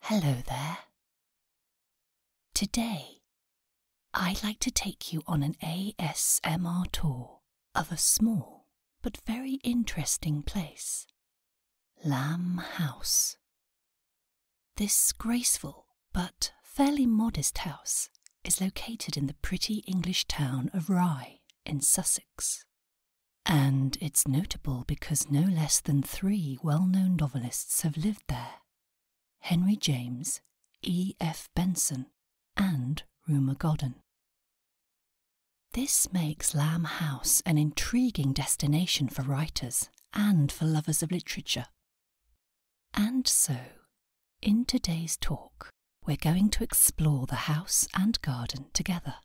Hello there. Today, I'd like to take you on an ASMR tour of a small but very interesting place Lamb House. This graceful but fairly modest house is located in the pretty English town of Rye in Sussex. And it's notable because no less than three well known novelists have lived there Henry James, E. F. Benson, and Rumour Godden. This makes Lamb House an intriguing destination for writers and for lovers of literature. And so, in today's talk, we're going to explore the house and garden together.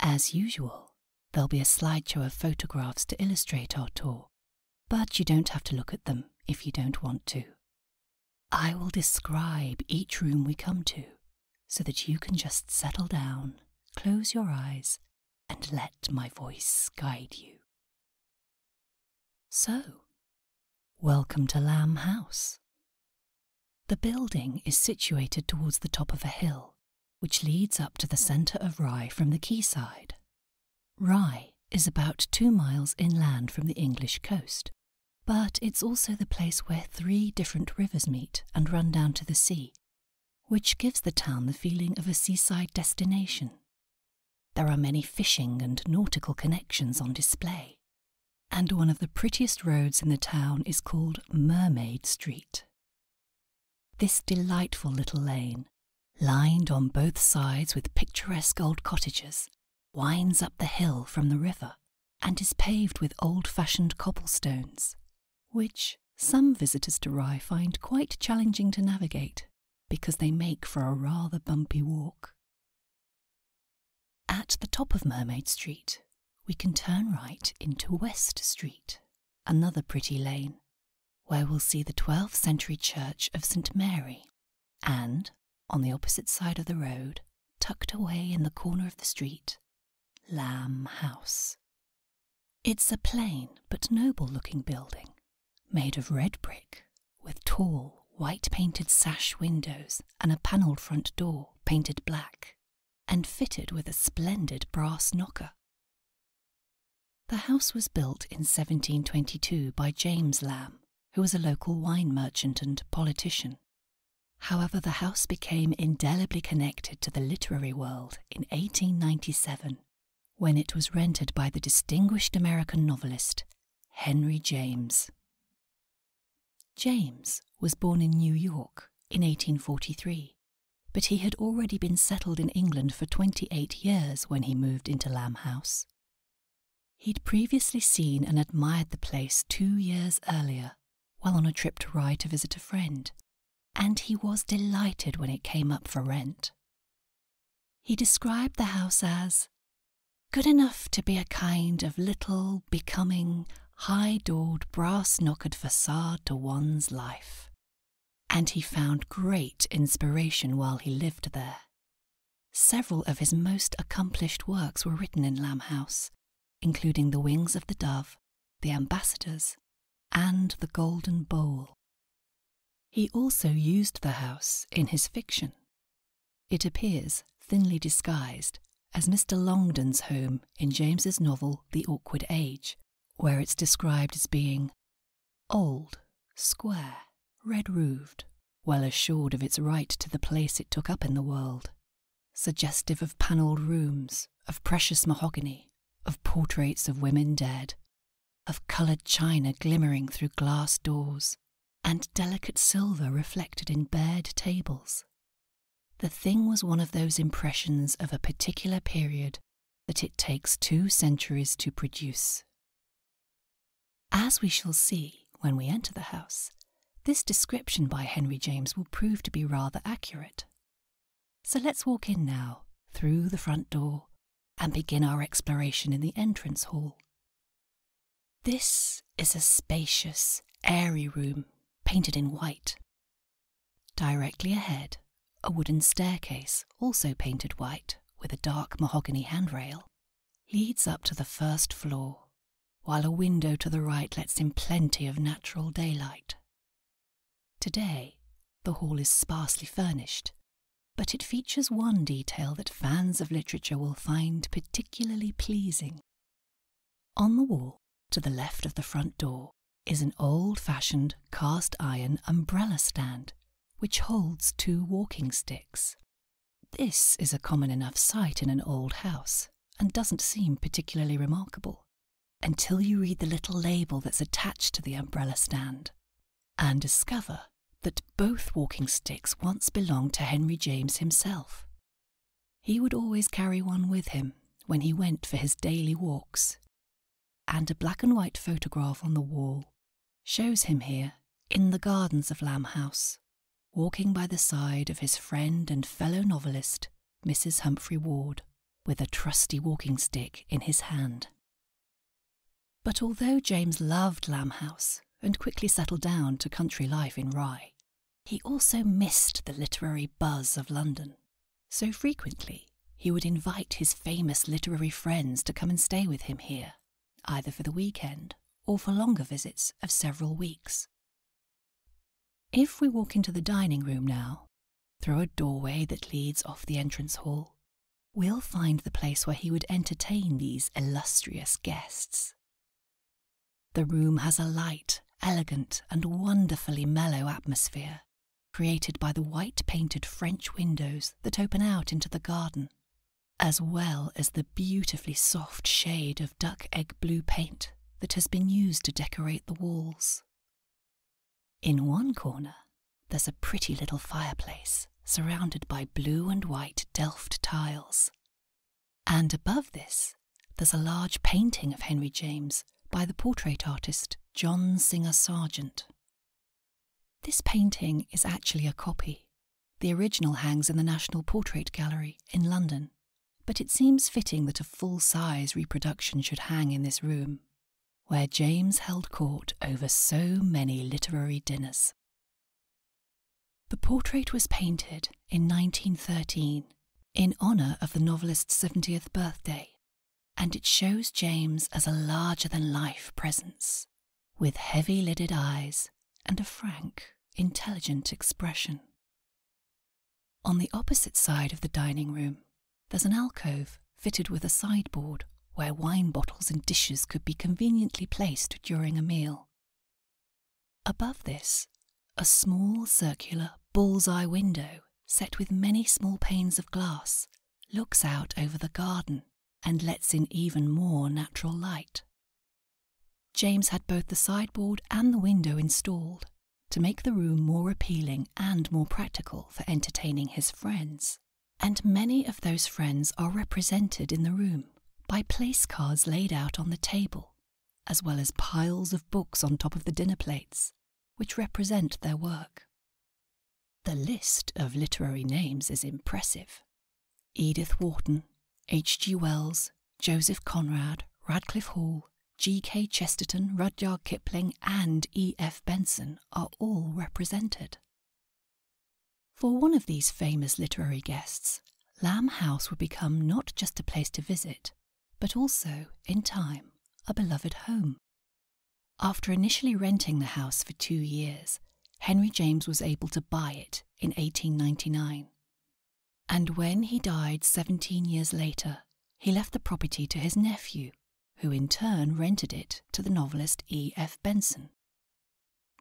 As usual, there'll be a slideshow of photographs to illustrate our tour, but you don't have to look at them if you don't want to. I will describe each room we come to so that you can just settle down, close your eyes, and let my voice guide you. So, welcome to Lamb House. The building is situated towards the top of a hill which leads up to the centre of Rye from the quayside. Rye is about two miles inland from the English coast, but it's also the place where three different rivers meet and run down to the sea, which gives the town the feeling of a seaside destination. There are many fishing and nautical connections on display, and one of the prettiest roads in the town is called Mermaid Street, this delightful little lane, lined on both sides with picturesque old cottages, winds up the hill from the river and is paved with old fashioned cobblestones, which some visitors to Rye find quite challenging to navigate because they make for a rather bumpy walk. At the top of Mermaid Street, we can turn right into West Street, another pretty lane, where we'll see the 12th century church of St. Mary, and, on the opposite side of the road, tucked away in the corner of the street, Lamb House. It's a plain but noble looking building, made of red brick, with tall, white painted sash windows and a panelled front door painted black, and fitted with a splendid brass knocker. The house was built in 1722 by James Lamb, who was a local wine merchant and politician. However, the house became indelibly connected to the literary world in 1897 when it was rented by the distinguished American novelist Henry James. James was born in New York in 1843, but he had already been settled in England for 28 years when he moved into Lamb House. He'd previously seen and admired the place two years earlier while on a trip to Rye to visit a friend, and he was delighted when it came up for rent. He described the house as good enough to be a kind of little becoming, high doored, brass knockered facade to one's life. And he found great inspiration while he lived there. Several of his most accomplished works were written in Lamb House, including The Wings of the Dove, The Ambassadors, and The Golden Bowl. He also used the house in his fiction. It appears, thinly disguised, as Mr. Longdon's home in James's novel The Awkward Age, where it's described as being old, square, red roofed, well assured of its right to the place it took up in the world, suggestive of panelled rooms, of precious mahogany, of portraits of women dead, of coloured china glimmering through glass doors, and delicate silver reflected in bared tables. The thing was one of those impressions of a particular period that it takes two centuries to produce. As we shall see when we enter the house, this description by Henry James will prove to be rather accurate. So let's walk in now, through the front door, and begin our exploration in the entrance hall. This is a spacious, airy room, painted in white, Directly ahead, a wooden staircase, also painted white with a dark mahogany handrail, leads up to the first floor, while a window to the right lets in plenty of natural daylight. Today, the hall is sparsely furnished, but it features one detail that fans of literature will find particularly pleasing on the wall to the left of the front door is an old fashioned cast iron umbrella stand which holds two walking sticks. This is a common enough sight in an old house and doesn't seem particularly remarkable until you read the little label that's attached to the umbrella stand and discover that both walking sticks once belonged to Henry James himself. He would always carry one with him when he went for his daily walks, and a black and white photograph on the wall shows him here in the gardens of Lamb House, walking by the side of his friend and fellow novelist, Mrs. Humphrey Ward, with a trusty walking stick in his hand. But although James loved Lamb House and quickly settled down to country life in Rye, he also missed the literary buzz of London. So frequently, he would invite his famous literary friends to come and stay with him here, either for the weekend or for longer visits of several weeks. If we walk into the dining room now, through a doorway that leads off the entrance hall, we'll find the place where he would entertain these illustrious guests. The room has a light, elegant, and wonderfully mellow atmosphere, created by the white painted French windows that open out into the garden, as well as the beautifully soft shade of duck egg blue paint that has been used to decorate the walls. In one corner, there's a pretty little fireplace surrounded by blue and white Delft tiles, and above this, there's a large painting of Henry James by the portrait artist John Singer Sargent. This painting is actually a copy. The original hangs in the National Portrait Gallery in London, but it seems fitting that a full size reproduction should hang in this room, where James held court over so many literary dinners. The portrait was painted in 1913 in honour of the novelist's 70th birthday, and it shows James as a larger than life presence, with heavy lidded eyes and a frank, intelligent expression. On the opposite side of the dining room, there's an alcove fitted with a sideboard where wine bottles and dishes could be conveniently placed during a meal. Above this, a small circular bull's-eye window, set with many small panes of glass, looks out over the garden and lets in even more natural light. James had both the sideboard and the window installed to make the room more appealing and more practical for entertaining his friends. And many of those friends are represented in the room by place cards laid out on the table as well as piles of books on top of the dinner plates, which represent their work. The list of literary names is impressive Edith Wharton, H.G. Wells, Joseph Conrad, Radcliffe Hall, G.K. Chesterton, Rudyard Kipling, and E.F. Benson are all represented. For one of these famous literary guests, Lamb House would become not just a place to visit, but also, in time, a beloved home. After initially renting the house for two years, Henry James was able to buy it in 1899. And when he died 17 years later, he left the property to his nephew, who in turn rented it to the novelist E. F. Benson.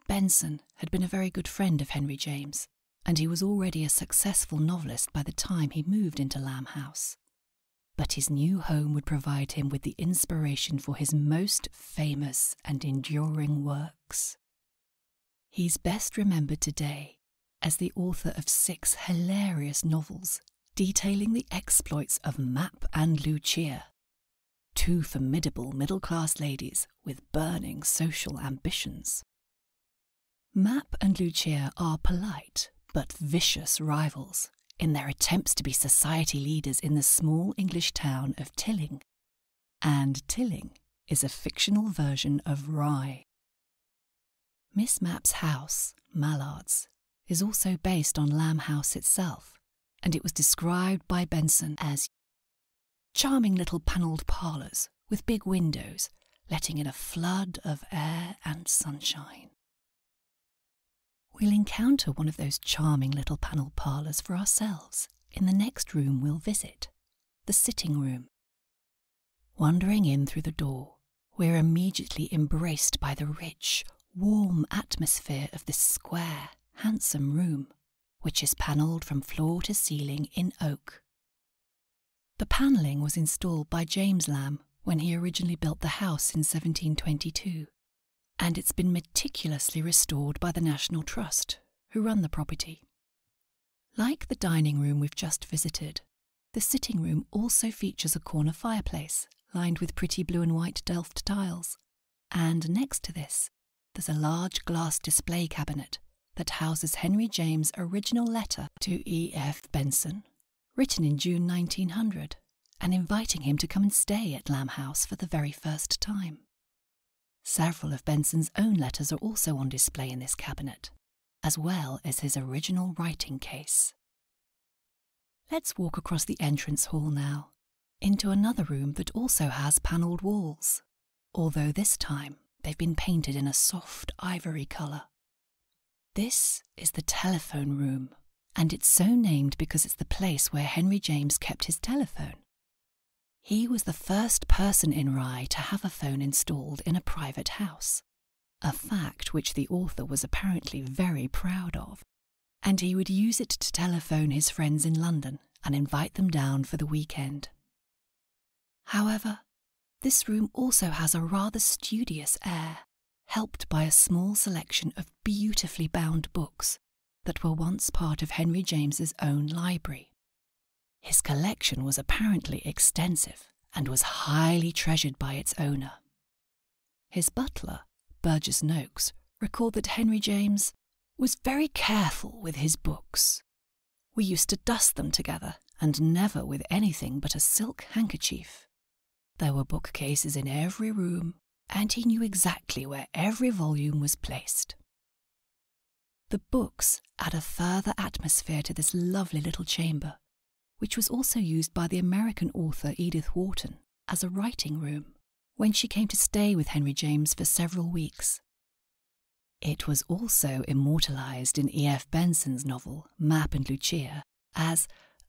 Benson had been a very good friend of Henry James and he was already a successful novelist by the time he moved into Lamb House. But his new home would provide him with the inspiration for his most famous and enduring works. He's best remembered today as the author of six hilarious novels detailing the exploits of Map and Lucia, two formidable middle class ladies with burning social ambitions Map and Lucia are polite but vicious rivals in their attempts to be society leaders in the small English town of Tilling. And Tilling is a fictional version of Rye. Miss Map's house, Mallard's, is also based on Lamb House itself, and it was described by Benson as Charming little panelled parlours with big windows, letting in a flood of air and sunshine. We'll encounter one of those charming little panelled parlours for ourselves in the next room we'll visit the sitting room. Wandering in through the door, we're immediately embraced by the rich, warm atmosphere of this square, handsome room, which is panelled from floor to ceiling in oak the panelling was installed by James Lamb when he originally built the house in 1722, and it's been meticulously restored by the National Trust, who run the property. Like the dining room we've just visited, the sitting room also features a corner fireplace lined with pretty blue and white Delft tiles, and next to this there's a large glass display cabinet that houses Henry James' original letter to E. F. Benson, written in June 1900 and inviting him to come and stay at Lamb House for the very first time. Several of Benson's own letters are also on display in this cabinet, as well as his original writing case. Let's walk across the entrance hall now, into another room that also has panelled walls although this time they've been painted in a soft ivory colour. This is the telephone room, and it's so named because it's the place where Henry James kept his telephone. He was the first person in Rye to have a phone installed in a private house, a fact which the author was apparently very proud of, and he would use it to telephone his friends in London and invite them down for the weekend. However, this room also has a rather studious air, helped by a small selection of beautifully bound books that were once part of Henry James's own library. His collection was apparently extensive and was highly treasured by its owner. His butler, Burgess Noakes, recalled that Henry James was very careful with his books we used to dust them together, and never with anything but a silk handkerchief. There were bookcases in every room, and he knew exactly where every volume was placed. The books add a further atmosphere to this lovely little chamber, which was also used by the American author Edith Wharton as a writing room when she came to stay with Henry James for several weeks. It was also immortalized in E.F. Benson's novel Map and Lucia as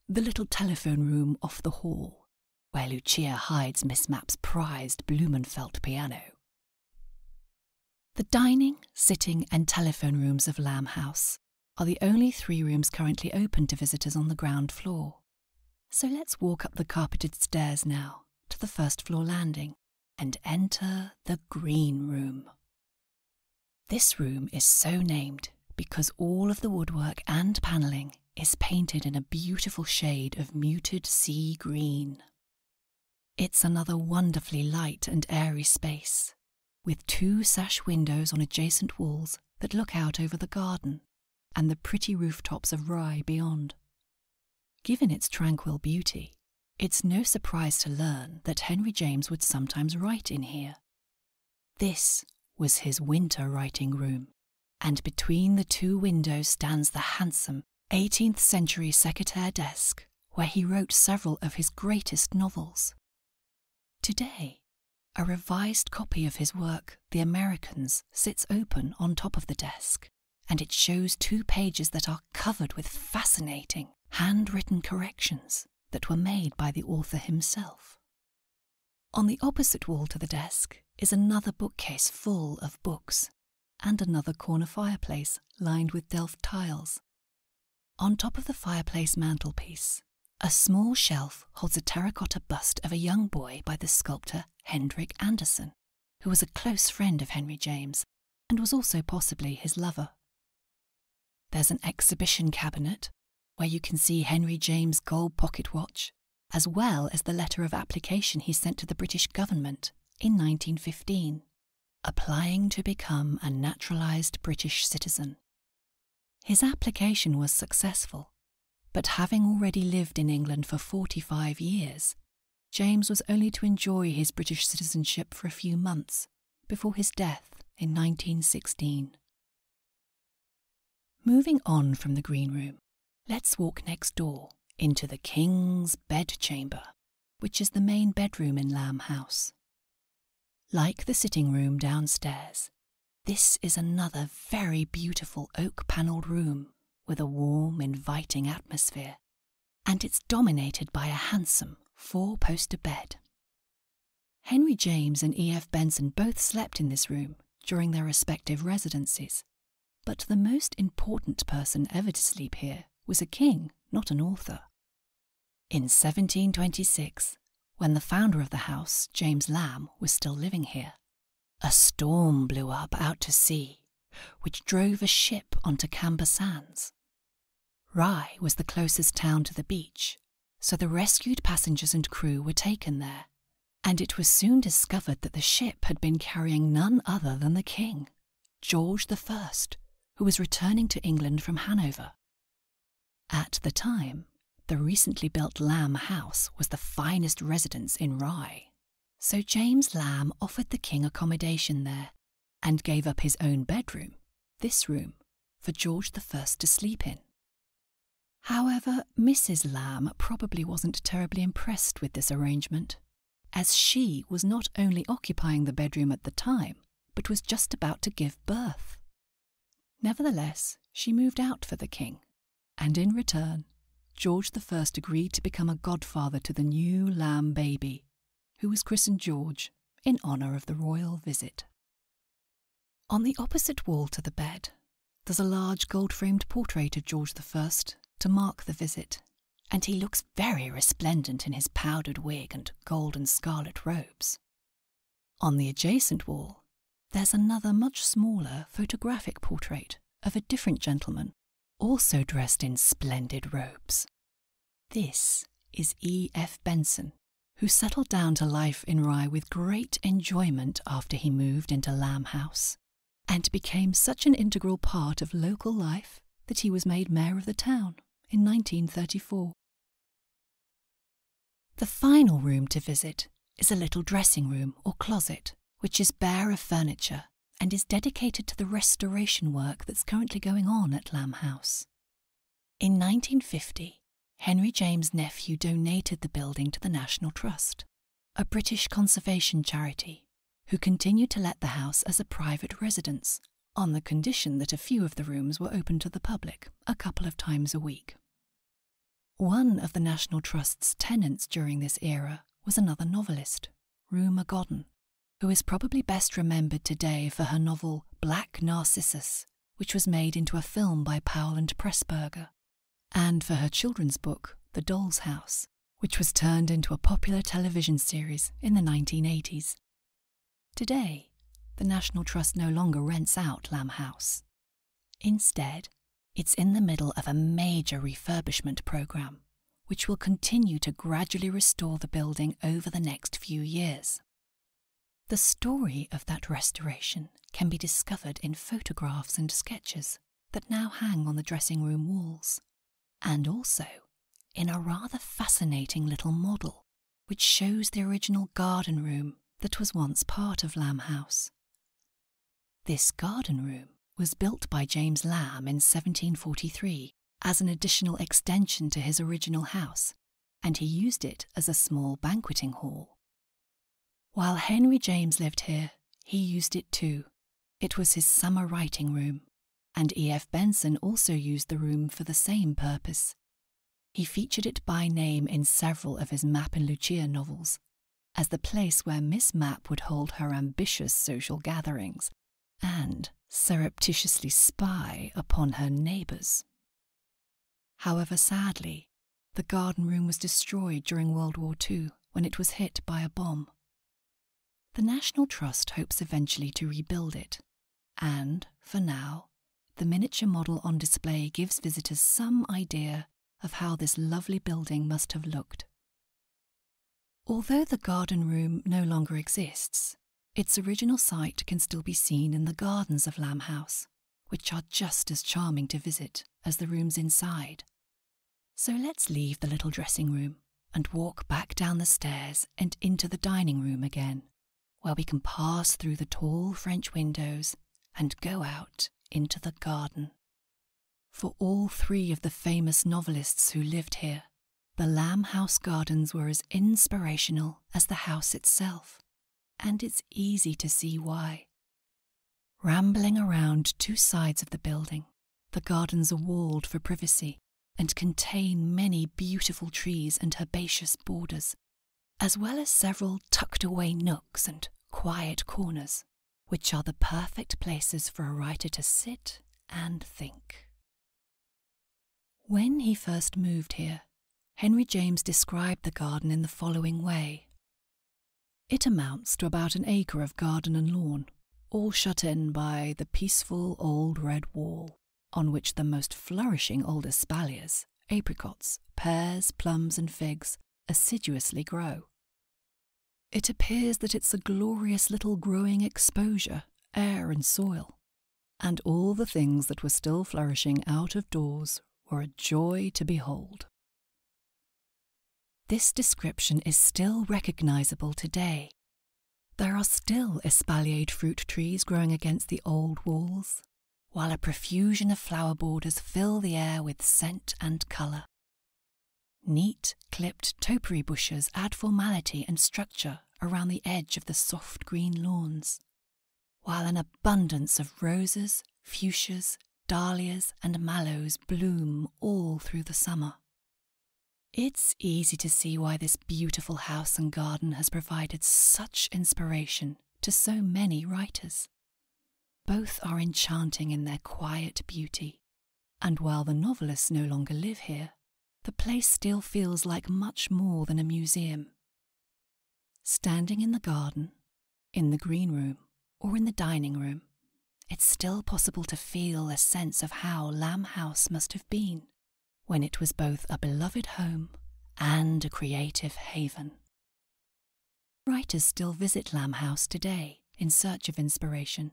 the little telephone room off the hall, where Lucia hides Miss Mapp's prized Blumenfeld piano. The dining, sitting, and telephone rooms of Lamb House are the only three rooms currently open to visitors on the ground floor. So let's walk up the carpeted stairs now to the first floor landing and enter the green room. This room is so named because all of the woodwork and panelling is painted in a beautiful shade of muted sea green. It's another wonderfully light and airy space, with two sash windows on adjacent walls that look out over the garden and the pretty rooftops of Rye beyond. Given its tranquil beauty, it's no surprise to learn that Henry James would sometimes write in here. This was his winter writing room, and between the two windows stands the handsome 18th century secretaire desk where he wrote several of his greatest novels. Today, a revised copy of his work, The Americans, sits open on top of the desk and it shows two pages that are covered with fascinating handwritten corrections that were made by the author himself. On the opposite wall to the desk is another bookcase full of books and another corner fireplace lined with Delft tiles. On top of the fireplace mantelpiece, a small shelf holds a terracotta bust of a young boy by the sculptor Hendrik Andersen, who was a close friend of Henry James and was also possibly his lover. There's an exhibition cabinet where you can see Henry James's gold pocket watch, as well as the letter of application he sent to the British government in 1915, applying to become a naturalised British citizen. His application was successful, but having already lived in England for 45 years, James was only to enjoy his British citizenship for a few months before his death in 1916. Moving on from the green room, let's walk next door into the King's bedchamber, which is the main bedroom in Lamb House. Like the sitting room downstairs, this is another very beautiful oak panelled room with a warm, inviting atmosphere, and it's dominated by a handsome four poster bed. Henry James and E.F. Benson both slept in this room during their respective residencies, but the most important person ever to sleep here was a king, not an author. In 1726, when the founder of the house, James Lamb, was still living here, a storm blew up out to sea, which drove a ship onto Camber Sands. Rye was the closest town to the beach, so the rescued passengers and crew were taken there, and it was soon discovered that the ship had been carrying none other than the king, George the First, who was returning to England from Hanover. At the time, the recently built Lamb House was the finest residence in Rye, so James Lamb offered the king accommodation there and gave up his own bedroom, this room, for George the First to sleep in. However, Mrs. Lamb probably wasn't terribly impressed with this arrangement, as she was not only occupying the bedroom at the time, but was just about to give birth. Nevertheless, she moved out for the king and in return, George the First agreed to become a godfather to the new lamb baby, who was christened George in honour of the royal visit. On the opposite wall to the bed, there's a large gold framed portrait of George the First to mark the visit, and he looks very resplendent in his powdered wig and gold and scarlet robes. On the adjacent wall, there's another much smaller photographic portrait of a different gentleman also dressed in splendid robes. This is E. F. Benson, who settled down to life in Rye with great enjoyment after he moved into Lamb House, and became such an integral part of local life that he was made mayor of the town in 1934. The final room to visit is a little dressing room or closet, which is bare of furniture and is dedicated to the restoration work that's currently going on at Lamb House. In 1950, Henry James' nephew donated the building to the National Trust, a British conservation charity, who continued to let the house as a private residence on the condition that a few of the rooms were open to the public a couple of times a week. One of the National Trust's tenants during this era was another novelist, Rue McGodden, who is probably best remembered today for her novel Black Narcissus, which was made into a film by Powell and Pressburger, and for her children's book The Doll's House, which was turned into a popular television series in the 1980s. Today, the National Trust no longer rents out Lamb House. Instead, it's in the middle of a major refurbishment program, which will continue to gradually restore the building over the next few years. The story of that restoration can be discovered in photographs and sketches that now hang on the dressing room walls, and also in a rather fascinating little model which shows the original garden room that was once part of Lamb House. This garden room was built by James Lamb in 1743 as an additional extension to his original house, and he used it as a small banqueting hall. While Henry James lived here, he used it too. It was his summer writing room, and E.F. Benson also used the room for the same purpose. He featured it by name in several of his Map and Lucia novels, as the place where Miss Mapp would hold her ambitious social gatherings and surreptitiously spy upon her neighbours. However, sadly, the garden room was destroyed during World War II when it was hit by a bomb. The National Trust hopes eventually to rebuild it, and, for now, the miniature model on display gives visitors some idea of how this lovely building must have looked. Although the garden room no longer exists, its original site can still be seen in the gardens of Lamb House, which are just as charming to visit as the rooms inside. So let's leave the little dressing room and walk back down the stairs and into the dining room again, where we can pass through the tall French windows and go out into the garden. For all three of the famous novelists who lived here, the Lamb House gardens were as inspirational as the house itself, and it's easy to see why. Rambling around two sides of the building, the gardens are walled for privacy and contain many beautiful trees and herbaceous borders, as well as several tucked away nooks and quiet corners which are the perfect places for a writer to sit and think. When he first moved here, Henry James described the garden in the following way It amounts to about an acre of garden and lawn, all shut in by the peaceful old red wall, on which the most flourishing old espaliers, apricots, pears, plums, and figs assiduously grow. It appears that it's a glorious little growing exposure, air and soil, and all the things that were still flourishing out of doors were a joy to behold. This description is still recognizable today. There are still espaliered fruit trees growing against the old walls, while a profusion of flower borders fill the air with scent and colour. Neat, clipped topiary bushes add formality and structure around the edge of the soft green lawns, while an abundance of roses, fuchsias, dahlias, and mallows bloom all through the summer. It's easy to see why this beautiful house and garden has provided such inspiration to so many writers. Both are enchanting in their quiet beauty, and while the novelists no longer live here, the place still feels like much more than a museum. Standing in the garden, in the green room, or in the dining room, it's still possible to feel a sense of how Lamb House must have been when it was both a beloved home and a creative haven. Writers still visit Lamb House today in search of inspiration,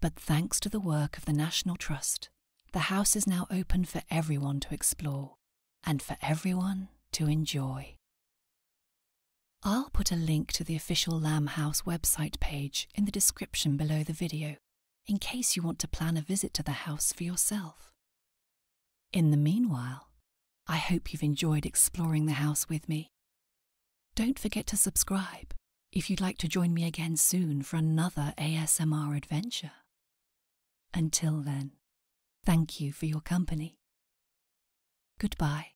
but thanks to the work of the National Trust, the house is now open for everyone to explore and for everyone to enjoy. I'll put a link to the official Lamb House website page in the description below the video in case you want to plan a visit to the house for yourself. In the meanwhile, I hope you've enjoyed exploring the house with me. Don't forget to subscribe if you'd like to join me again soon for another ASMR adventure. Until then, thank you for your company. Goodbye.